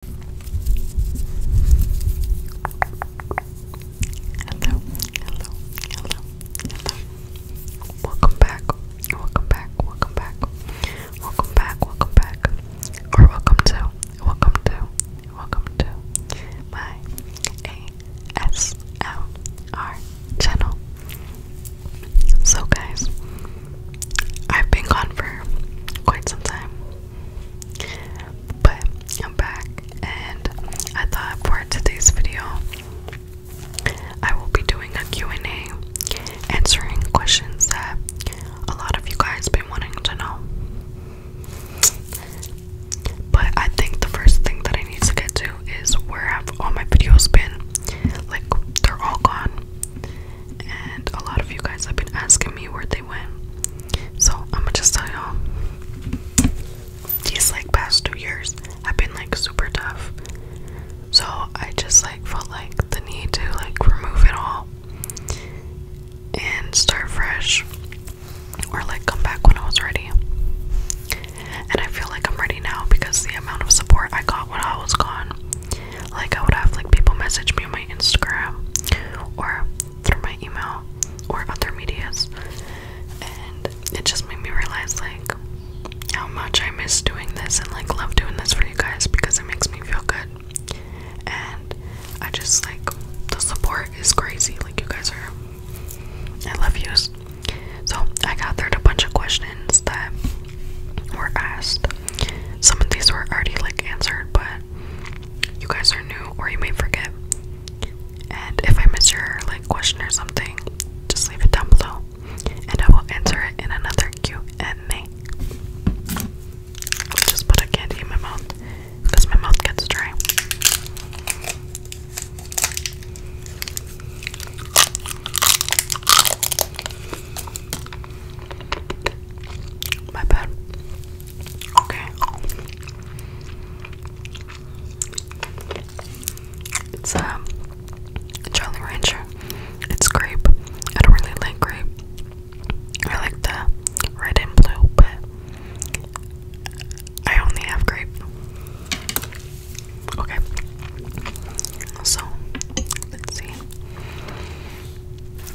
Hello, hello, hello, hello. Welcome back, welcome back, welcome back, welcome back, welcome back, or welcome to, welcome to, welcome to my ASMR channel. So, guys, I've been gone for quite some time. But I'm back, and I thought for today's video, I will be doing a Q&A, answering questions that a lot of you guys been wanting to know. But I think the first thing that I need to get to is where have all my videos been? Like they're all gone and a lot of you guys have been asking me where they went. So I'm gonna just tell y'all these like past two years have been like super tough. So I just like felt like the need to like remove it all and start fresh or like come back when I was ready. And I feel like I'm ready now because the amount of support I got when I was gone like I would have like people message me on my Instagram or through my email or other medias and it just made me realize like how much I miss doing this and like love doing this for you guys because it makes me feel good. And I just like the support is crazy. Like you guys are I love yous. So I gathered a bunch of questions that were asked. Some of these were already like answered, but you guys are new or you may forget. And if I miss your like question or something, just leave it down below and I will answer it in another Q&A. Just put a candy in my mouth because my mouth gets dry. My bad. Okay. It's um, a Jolly Rancher. It's grape. I don't really like grape. I like the red and blue, but I only have grape. Okay. So, let's see.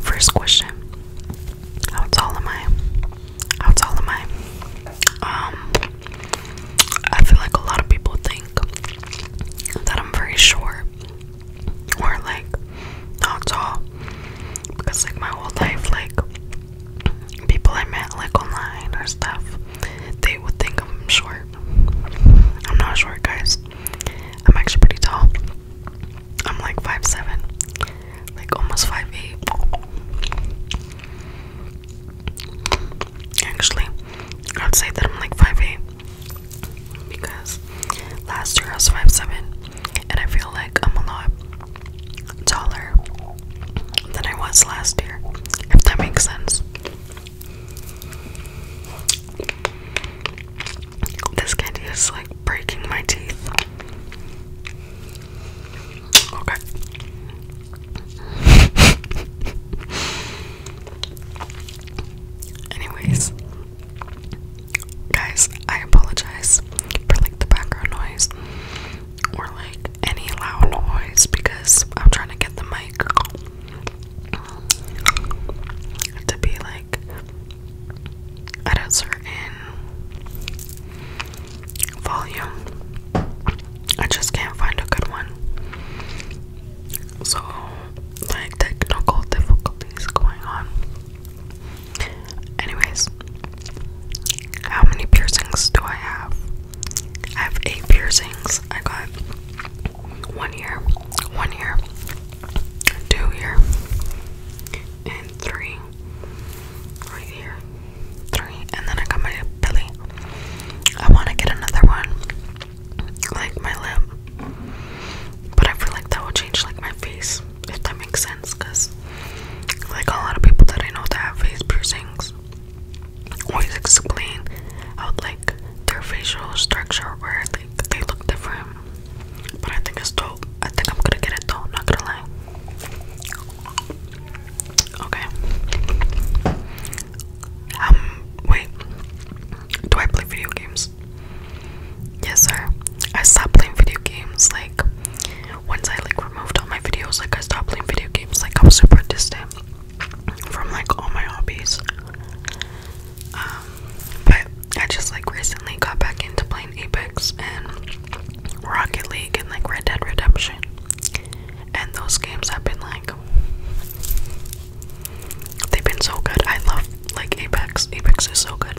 First question how tall am I? How tall am I? Um, I feel like a lot of people think that I'm very short or like not tall because, like, my whole life, like, people I met like online or stuff, they would think I'm short. I'm not short, guys. I'm actually pretty tall. I'm like five seven, like almost five eight. Actually, I'd say that I'm like five eight because last year I was five seven, and I feel like I'm a lot taller than I was last year. If that makes sense. This candy is like breaking my teeth. Okay. Anyways, guys, I apologize for like the background noise or like any loud noise because I'm trying to get the mic to be like at a certain volume. I just can't find a good one. So, like, technical difficulties going on. Anyways, how many piercings do I have? I have eight piercings. I got one here, one here, two here, and three right here. Three, and then I got my belly. I want to get another one, like my lip, but I feel like that will change like my face, if that makes sense, because like a lot of people that I know that have face piercings always explain how like their facial structure or they look different. But I think it's dope. I think I'm gonna get it though, not gonna lie. Okay. Um, wait. Do I play video games? Yes, sir. I stopped playing video games like once I like removed all my videos, like I stopped playing video games, like I'm super distant from like all my hobbies. Um, but I just like recently got back into playing Apex and Rocket League and like Red Dead Redemption. And those games have been like they've been so good. I love like Apex. Apex is so good.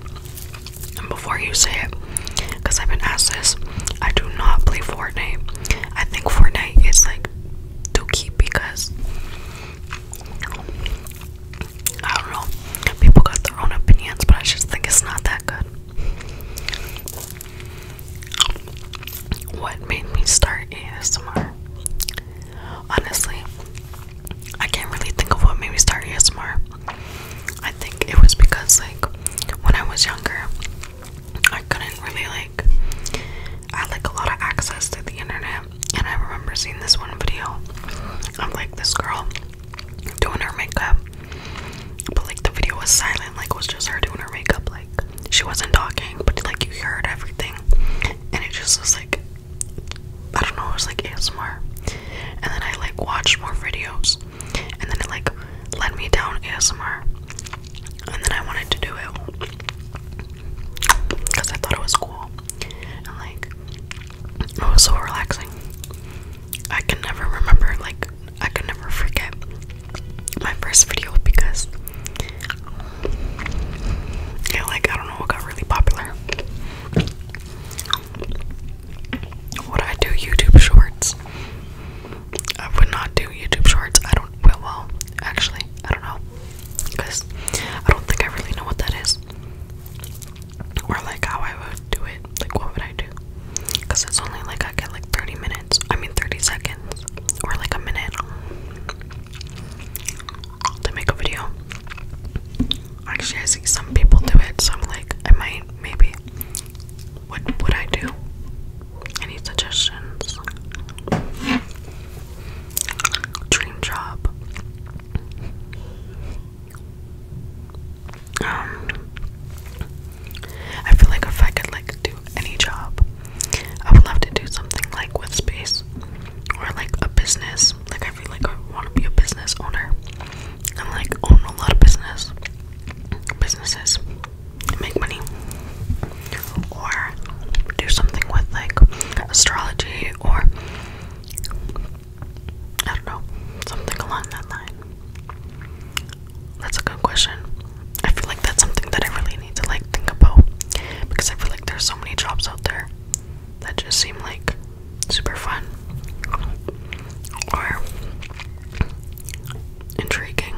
And before you say it, because I've been asked this, I do not play Fortnite. I think Fortnite is like to keep because I don't know. People got their own opinions, but I just think it's not that good. What made me start ASMR? Honestly, I can't really think of what made me start ASMR. I think it was because, like, when I was younger, I couldn't really, like, I had, like, a lot of access to the internet. And I remember seeing this one video of, like, this girl doing her makeup. But like the video was silent, like was just her doing her makeup, like she wasn't talking, but like you heard everything. And it just was like I don't know, it was like ASMR. And then I like watched more videos and then it like led me down ASMR. And then I wanted to do it because I thought it was cool. like it was so relaxing. I can never remember, like, I can never forget my first video because, yeah, like, I don't know what got really popular. Would I do YouTube shorts? I would not do YouTube shorts. I don't, well, well, actually, I don't know. Because I don't think I really know what that is or like how I would do it. Like, what would I do? Because it's only like I get like 30 minutes. I mean, 30 seconds or like a minute to make a video. Actually, I see some people do it, so I'm like, I might, maybe. What would I do? Any suggestions? Dream job. Um, I feel like if I could like do any job, I would love to do something like with space or like a business. Like I feel like I want to be a business owner and like own a lot of business businesses and make money, or do something with like astrology or I don't know, something along that line. That's a good question. I feel like that's something that I really need to like think about because I feel like there's so many jobs out there that just seem like super fun or intriguing.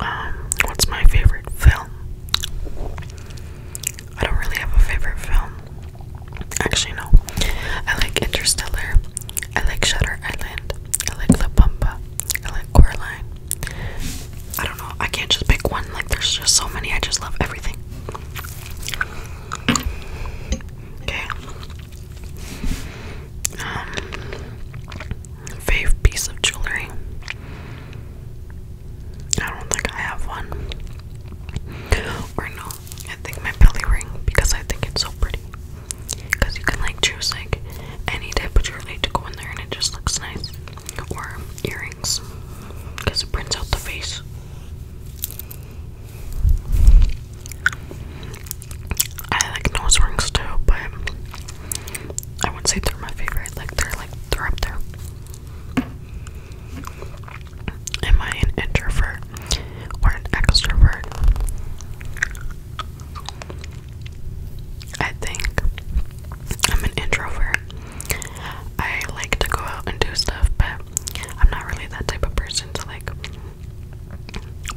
Um, what's my favorite film? I don't really have a favorite film. Actually, no. I like Interstellar. I like Shutter Island. I like La Bamba. I like Coraline. I don't know. I can't just pick one. Like, there's just so many. I just love everything. Okay. Um, fave piece of jewelry. I don't think I have one. Or no, I think my belly ring because I think it's so pretty. Because you can like choose like any type of jewelry to go in there and it just looks nice. Or earrings because it prints out the face. I like nose rings too, but I would say they're my favorite. Like they're like they're up there. Am I an introvert or an extrovert? I think I'm an introvert. I like to go out and do stuff, but I'm not really that type of person to like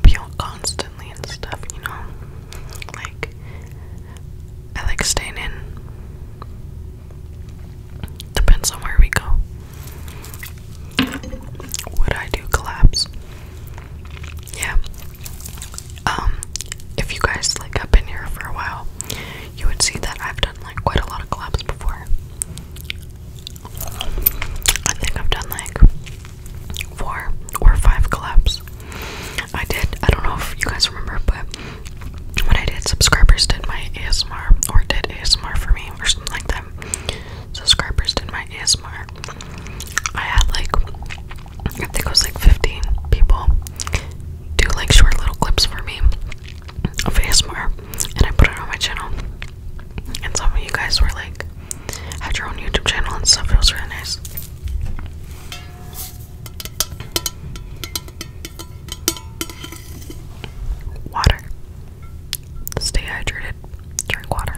be out constantly and stuff, you know? Like, I like staying in Depends on where we go. Would I do collabs? Yeah. Um, if you guys like have been here for a while, you would see that I've done like quite a lot of collabs before. I think I've done like four or five collabs. I did. I don't know if you guys remember, but when I did, subscribers did my ASMR or did ASMR for me or something like that. Subscribers did my ASMR. I had like, I think it was like 15 people do like short little clips for me of ASMR and I put it on my channel. And some of you guys were like, had your own YouTube channel and stuff. It was really nice. Water. Stay hydrated. Drink water.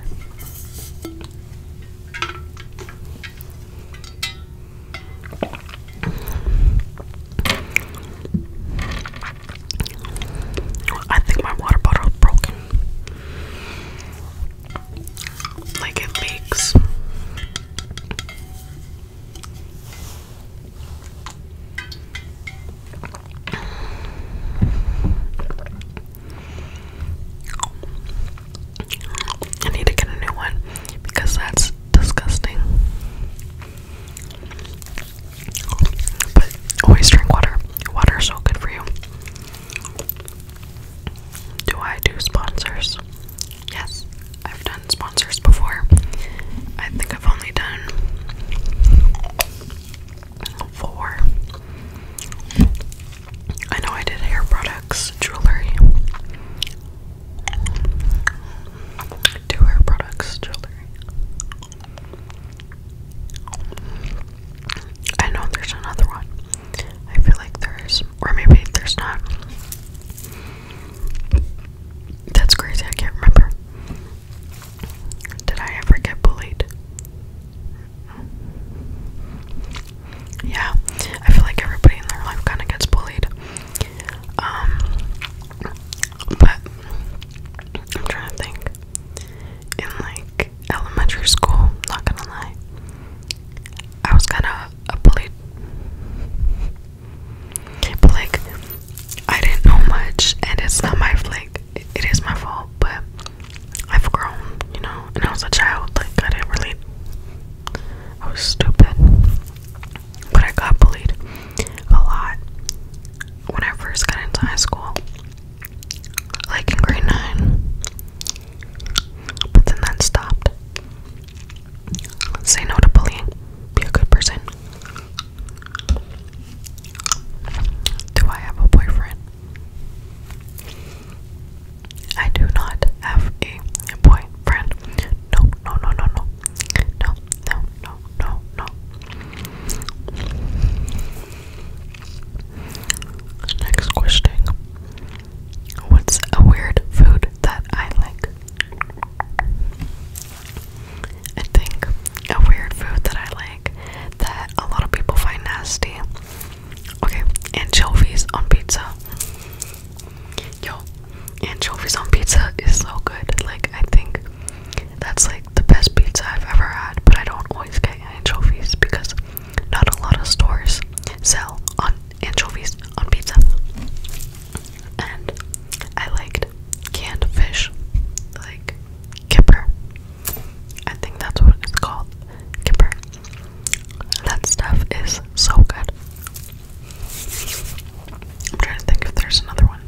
I think my water bottle is Like it leaks. I need to get a new one because that's disgusting. But always drink water. Water is so good for you. Do I do sponsors? Yes, I've done sponsors before. I think I've only done four. I know I did hair products, jewelry. Two hair products, jewelry. I know there's another one. I feel like there is, or maybe there's not. That's crazy, I can't remember. Did I ever get bullied? Yeah, I feel like everybody in their life kind of gets bullied. Um, but I'm trying to think. In like elementary school, not gonna lie, I was kind of a bullied. But like, I didn't know much, and it's not my like, it is my fault. But I've grown, you know. And I was a child, like I didn't really, I was stupid. But I got bullied a lot when I first got into high school, like in grade nine. But then that stopped. Say no to bullying. Be a good person. Do I have a boyfriend? I do not have a boyfriend. No, no, no, no, no. No, no, no, no, no. Next question. What's a weird food that I like? I think a weird food that I like that a lot of people find nasty. Okay, anchovies on pizza. Yo, anchovies on pizza is so good. Like, I think that's like the best pizza I've ever had, but I don't always get anchovies because not a lot of stores sell on anchovies on pizza and I liked canned fish, like kipper. I think that's what it's called, kipper. That stuff is so good. I'm trying to think if there's another one.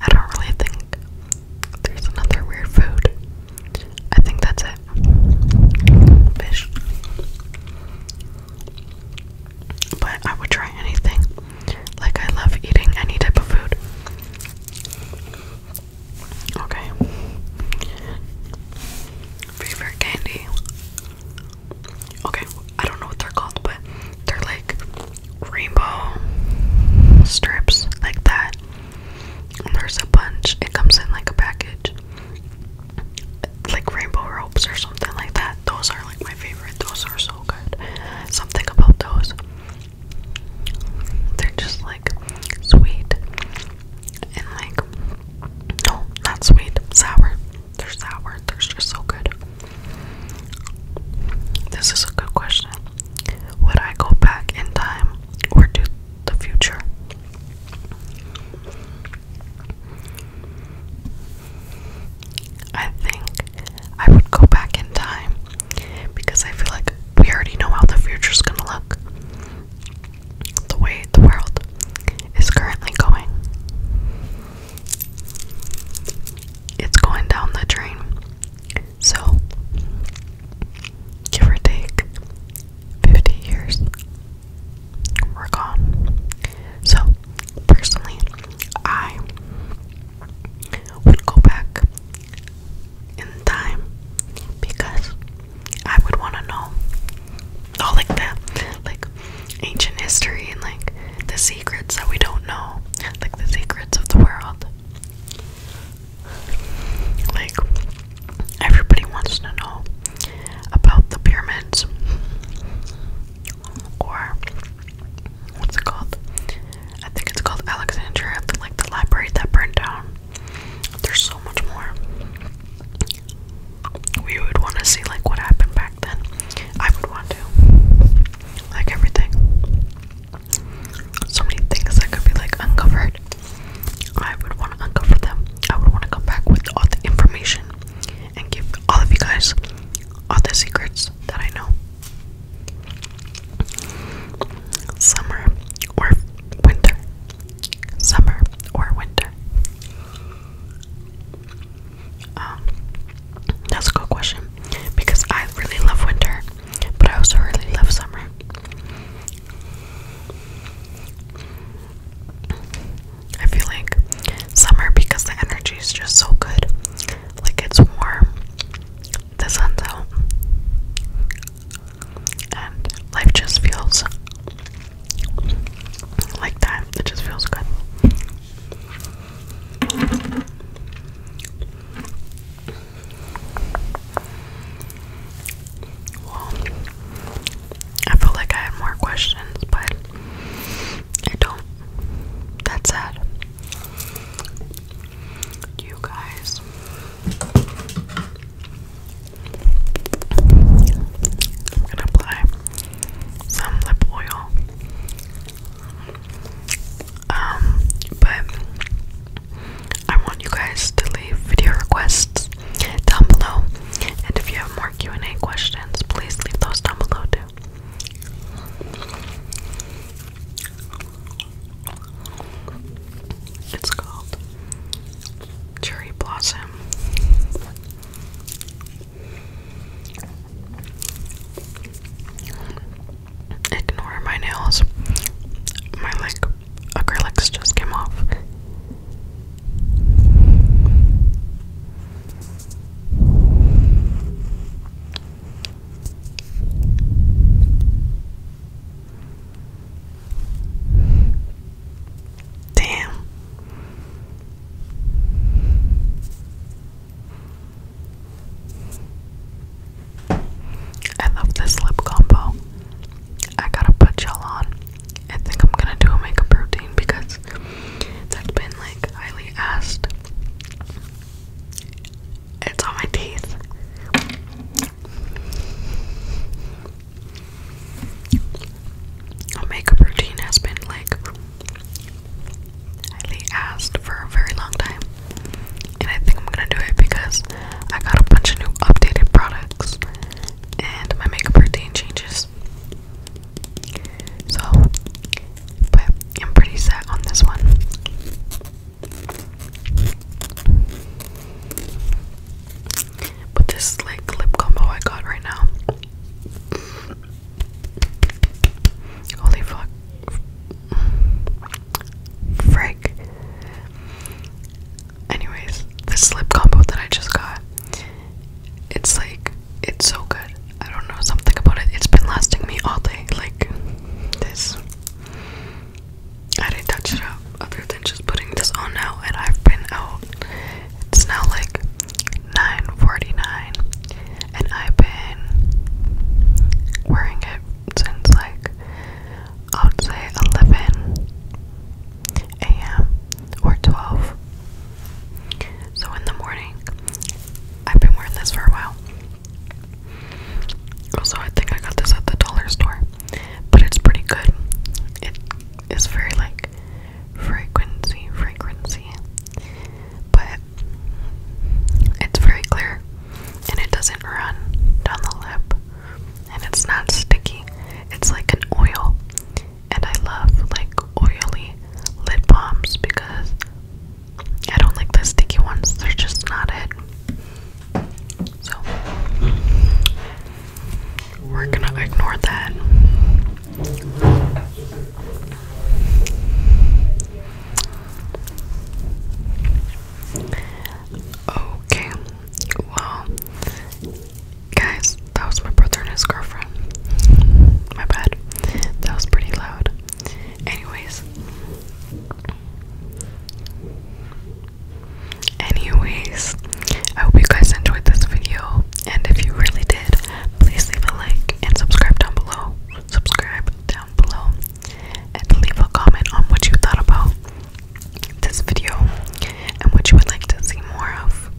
I don't really think there's another weird food I think that's it. Fish. But I would try anything. Like, I love eating any type of food. Okay. Favorite candy. Okay, I don't know what they're called, but they're like rainbow strips, like that. There's a bunch. It comes in like a package. Like rainbow ropes or something like that. Those are like my favorite. Those are so good. Something about those. They're just like sweet and like no, not sweet, sour. They're sour. They're just so good. This is a good question. Would I go back in time or to the future. I think I would go back in time because I feel like we already know how the future is gonna look. The way the world is currently going. It's going down the drain. So, give or take 50 years, we're gone. So, personally, I would go back in time because I would want to know all like that, like ancient history and like the secrets that we don't know, like the secrets of the world. Like, everybody wants to know about the pyramids or what's it called? I think it's called Alexandria, like the library that burned down. There's so much more. We would want to see like what happened back then. I would want to. Like everything so many things that could be like uncovered. I would want to uncover them. I would want to come back with all the information and give all of you guys all the secrets that I know. Summer or winter. Summer or winter. Um, that's a good question because I really love winter but I also really love summer. I feel like summer because the energy is just so good. Like it's warm, the sun's out, and life just feels like that. It just feels good. Well, I feel like I had more questions, but I don't. That's sad. You guys. I'm gonna apply some lip oil. Um, but I want you guys to leave video requests down below, and if you have more Q and A questions, please leave those down below too. It's called Cherry Blossom. Ignore my nails. My like acrylics just came off. Damn. I love this lip combo. I gotta put gel on. I think I'm gonna do a makeup routine because that's been like highly asked. It's on my teeth. A makeup routine has been like highly asked for a very long time and I think I'm gonna do it because I got a bunch of new updated products and my makeup routine changes. So, but I'm pretty set on this one. But this like lip combo I got right now. Holy fuck. Frick. Anyways, this lip combo that I just got, it's like, it's so good. I don't know, something about it. It's been lasting me all day. Like, this. I didn't touch it up other than just putting this on now, and I've been out. It's now like 9:49, and I've been wearing it since like I would say 11 a.m. or 12. So in the morning, I've been wearing this for a while. Also, I think I got this at the dollar store, but it's pretty good. It is very like frequency, frequency, but it's very clear and it doesn't run down the lip and it's not sticky. It's like an oil. And I love like oily lip balms because I don't like the sticky ones. They're just not it. So we're gonna ignore that. Okay, well, guys, that was my brother and his girlfriend. My bad. That was pretty loud. Anyways. Anyways, I hope you guys enjoyed this video. And if you really did, please leave a like and subscribe down below. Subscribe down below and leave a comment on what you thought about this video and what you would like to see more of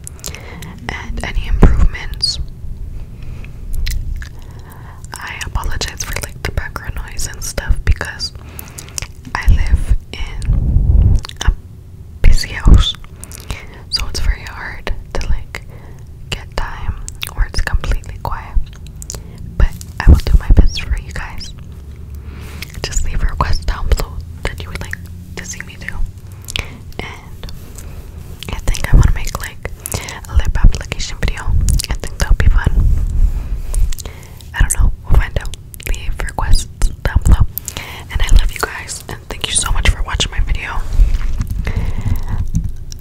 and any improvements. I apologize for like the background noise and stuff because I live in a busy house. So it's very hard to like get time where it's completely quiet. But I will do my best for you guys. Just leave a down below that you would like to see me do. And I think I want to make like a lip application video. I think that'll be fun. I don't know. We'll find out. Leave requests down below. And I love you guys. And thank you so much for watching my video.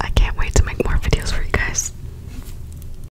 I can't wait to make more videos for you guys.